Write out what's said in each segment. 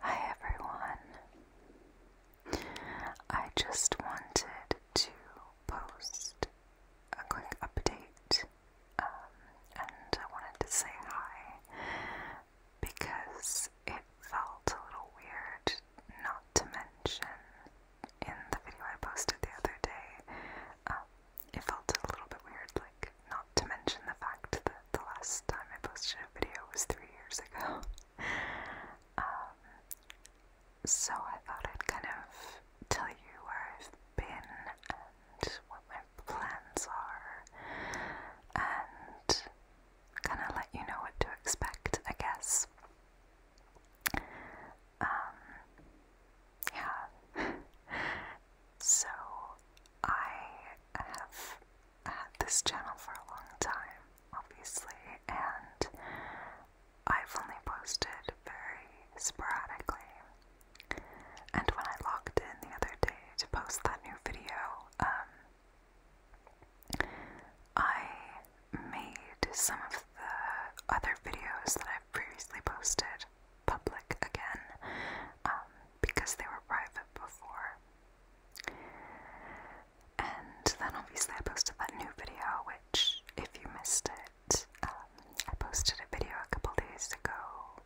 Hi everyone. I just wanted to post a quick update um, and I wanted to say hi because it felt a little weird not to mention in the video I posted the other day. Um, it felt a little bit weird, like, not to mention the fact that the last time I posted a video was three years ago. um, so I thought I'd kind of tell you where I've been and what my plans are, and kind of let you know what to expect, I guess. Um, yeah. so, I have had this channel for a long time, obviously, and I've only posted very sporadically. And when I logged in the other day to post that new video, um, I made some of the other videos that I've previously posted public again. Um, because they were private before. And then obviously I posted that new video, which, if you missed it, um, I posted a video a couple days ago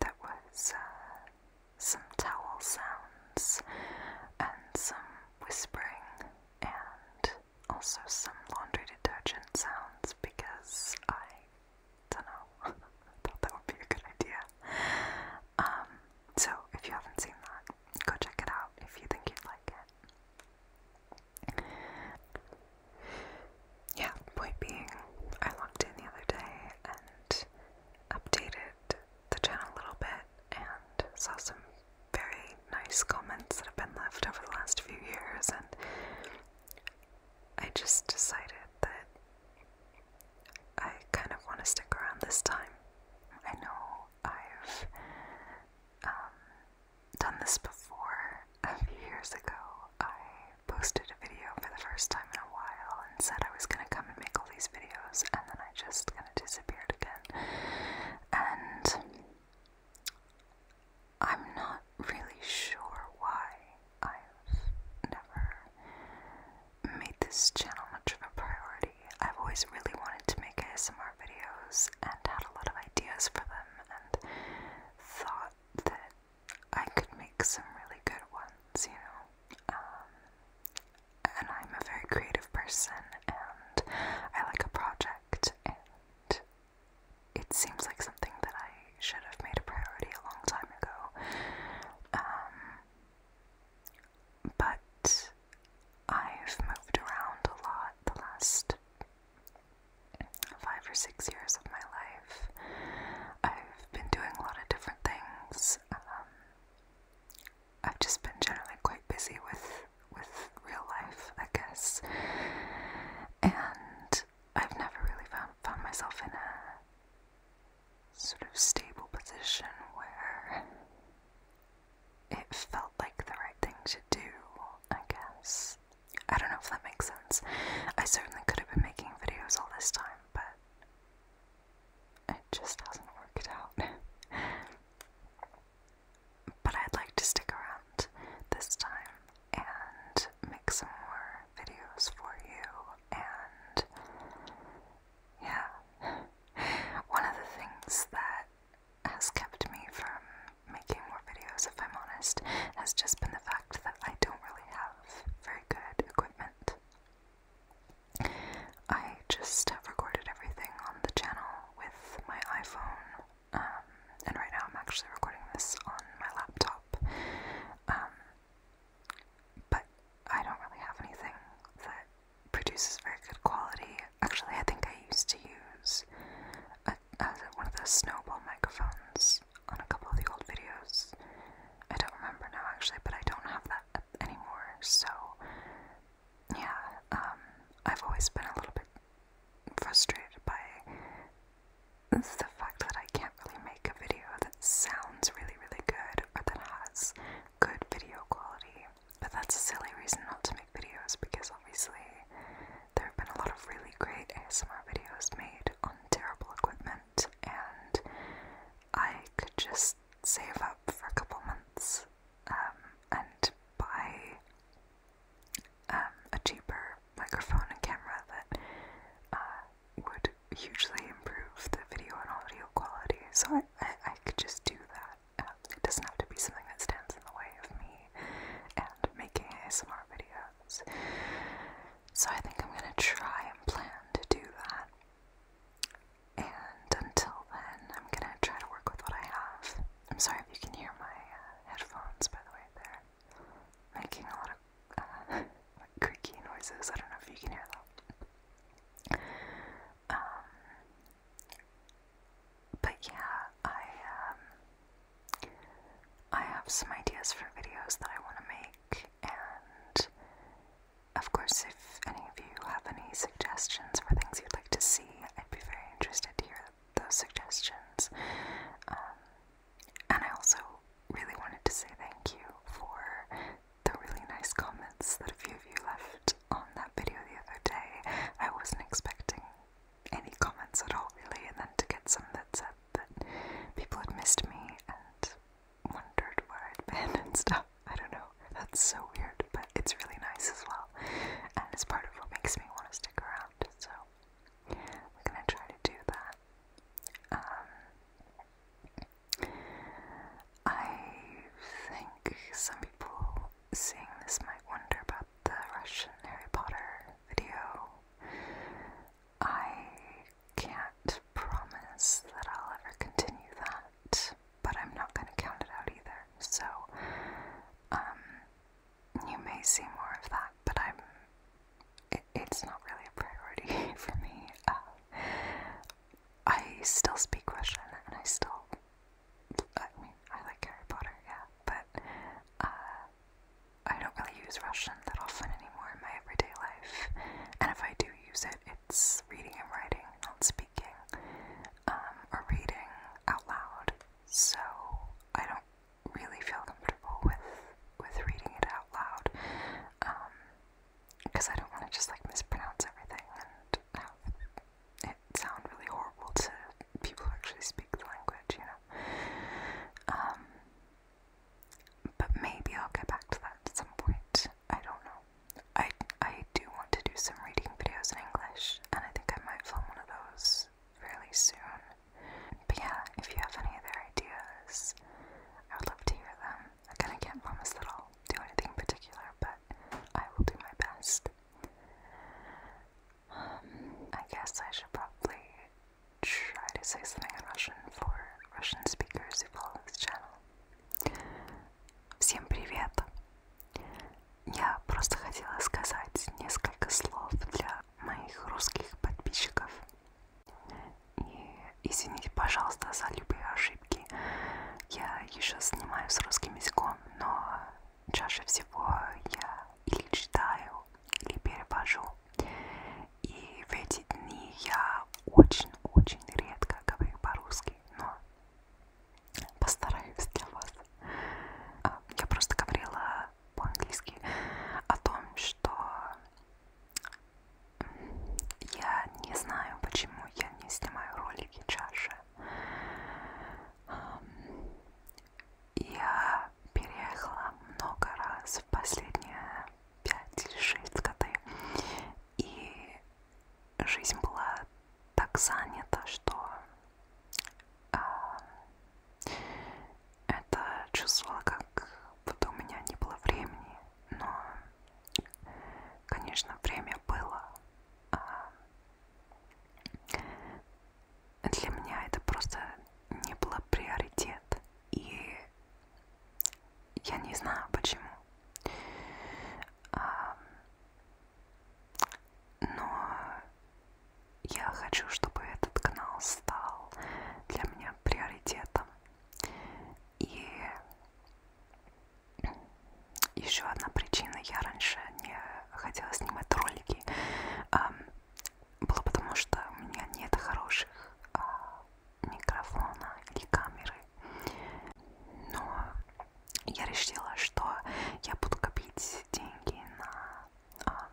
that was uh, some towel sounds and some whispering and also some laundry detergent sounds because I don't know. I thought that would be a good idea. Um, so if you haven't seen that, go check it out if you think you'd like it. Yeah, point being, I logged in the other day and updated the channel a little bit and saw some very nice comments that have been left over the last few years and I just decided that I kind of want to stick around this time. I know I've um, done this before a few years ago. I posted a video for the first time in a while and said I was going to come and make all these videos, and then I just kind of disappeared again. And I'm not really sure why I've never made this channel much of a priority. I've always really wanted to make ASMR videos and had a lot of ideas for them and thought that I could make some really good ones, you know. Um, and I'm a very creative person and I like a project and it seems like something that I should have made a priority a long time ago. Um, but I've moved around a lot the last five or six years of my life. I've been doing a lot of different things. Um, I've just been generally quite busy with with real life, I guess. And I've never really found, found myself in a sort of stable position where it felt like the right thing to do, I guess. I don't know if that makes sense. I certainly could have been making videos all this time, but it just hasn't worked out. but I'd like to stick around this time and make some more videos for you. And yeah, one of the things that has kept me from making more videos, if I'm honest, has just been the fact that I don't really have very good equipment. I just have recorded everything on the channel with my iPhone, um, and right now I'm actually recording this on my laptop. Um, but I don't really have anything that produces very good quality. Actually, I think I used to use one of the snowball microphones on a couple of the old videos. I don't remember now actually, but I don't have that anymore. So, yeah, um, I've always been a little bit frustrated by it's the fact that I can't really make a video that sounds really, really good or that has good video quality. But that's a silly reason not to make videos because obviously there have been a lot of really great ASMR videos made on terrible equipment, and I could just save up for a couple months um, and buy um, a cheaper microphone and camera that uh, would hugely improve the video and audio quality. So I, I, could just do that. Um, it doesn't have to be something that stands in the way of me and making ASMR videos. So I think I'm gonna try and plan to do that. And until then, I'm gonna try to work with what I have. I'm sorry if you can hear my uh, headphones, by the way, there making a lot of uh, creaky noises. I don't know if you can hear that. Um, but yeah, I um, I have some ideas for videos that I want to make, and of course, if any of you have any suggestions for things you'd like to see, I'd be very interested to hear those suggestions. Um, and I also really wanted to say thank you for the really nice comments that a few of you left on that video the other day. I wasn't expecting any comments at all, really, and then to get some that said that people had missed me and wondered where I'd been and stuff. I don't know. That's so weird, but it's really nice as well. And it's part of what makes me want to stick around, so I'm gonna try to do that um, I think some people seeing this might wonder about the Russian Harry Potter video. I can't promise that I'll ever continue that, but I'm not going to count it out either. So, um, you may see more of that, but I'm it's not really a priority for me. Uh, I still speak Russian and I still, I mean, I like Harry Potter, yeah, but uh, I don't really use Russian that often anymore in my everyday life. And if I do use it, it's reading and writing, not speaking, um, or reading out loud. So I don't really feel comfortable with with reading it out loud, because um, I don't want to just like mispronounce everything and have it sound really horrible to people who actually speak the language, you know. Um, but maybe I'll get back to that at some point. I don't know. I I do want to do some reading videos in English, and I think I might film one of those fairly soon. But yeah, if you have any other ideas, I would love to hear them. I can't promise that I'll do anything particular, but I will do my best. Um, I guess I should probably try to say something in Russian for Russian speakers who follow this channel. Всем привет! Я просто хотела сказать несколько слов для моих русских подписчиков. И извините, пожалуйста, за любые ошибки. Я еще снимаю с русским языком, но чаще всего я или читаю, или перевожу. И в эти дни я очень-очень редко говорю по-русски, но постараюсь для вас. А, я просто говорила по-английски, о том, что я не знаю, почему я не снимаю ролики чаще. Я переехала много раз в последние 5-6 годы, и жизнь была так занята, что это чувствовала, как будто у меня не было времени, но, конечно, время было. А, для меня это просто не было приоритет, и я не знаю почему. А, но я хочу, чтобы этот канал стал для меня приоритетом. И еще одна причина, я раньше не хотела снимать ролики, а, было потому, что у меня нет хороших а, микрофона или камеры. Но я решила, что я буду копить деньги на а,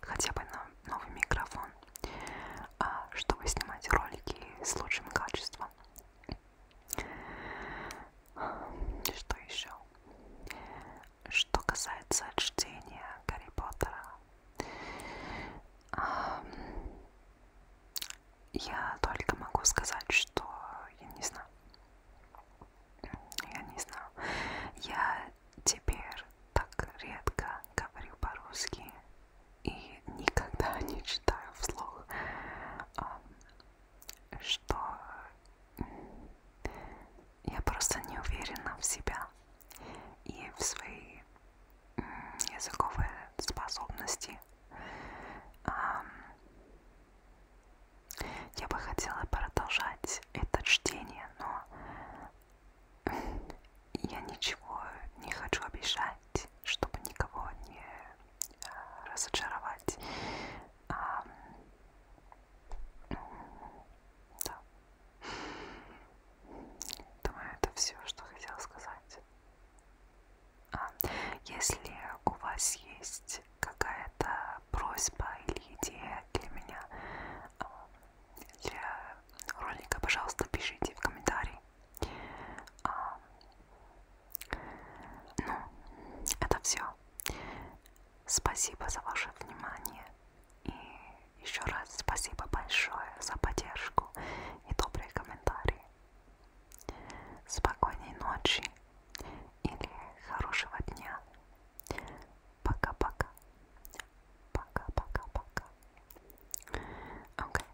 хотя бы на новый микрофон, а, чтобы снимать ролики с лучшим качеством. Что еще? Что касается чтения Гарри Поттера, я только могу сказать, что я не знаю. Я не знаю. Я теперь так редко говорю по-русски и никогда не читаю вслух, что я просто не уверена в себя и в свои языковые способности. Я бы хотела продолжать это чтение, но я ничего не хочу обижать, чтобы никого не э, разочаровать. А, да. Думаю, это все, что хотела сказать. А, если у вас есть какая-то просьба или идея для меня, а, для ролика, пожалуйста, пишите в комментарии. А, ну, это все. Спасибо за ваше внимание. И еще раз спасибо большое за поддержку и добрые комментарии. Спокойной ночи или хорошего дня. Пока-пока. Paka, paka, paka. Okay,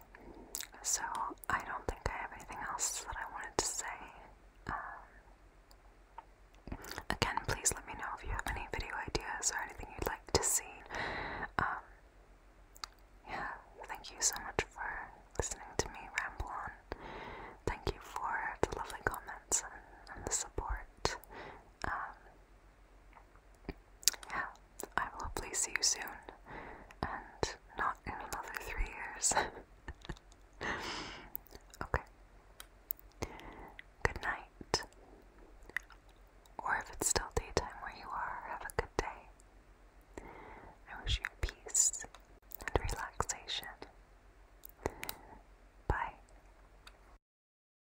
so I don't think I have anything else that I wanted to say. Um, again, please let me know if you have any video ideas or anything you'd like to see. Um, yeah, thank you so much for listening to me ramble on. Thank you for the lovely comments and, the support. Um, yeah, I will hopefully see you soon, and not in another three years. okay. Good night. Or if it's still daytime where you are, have a good day. I wish you peace and relaxation. Bye.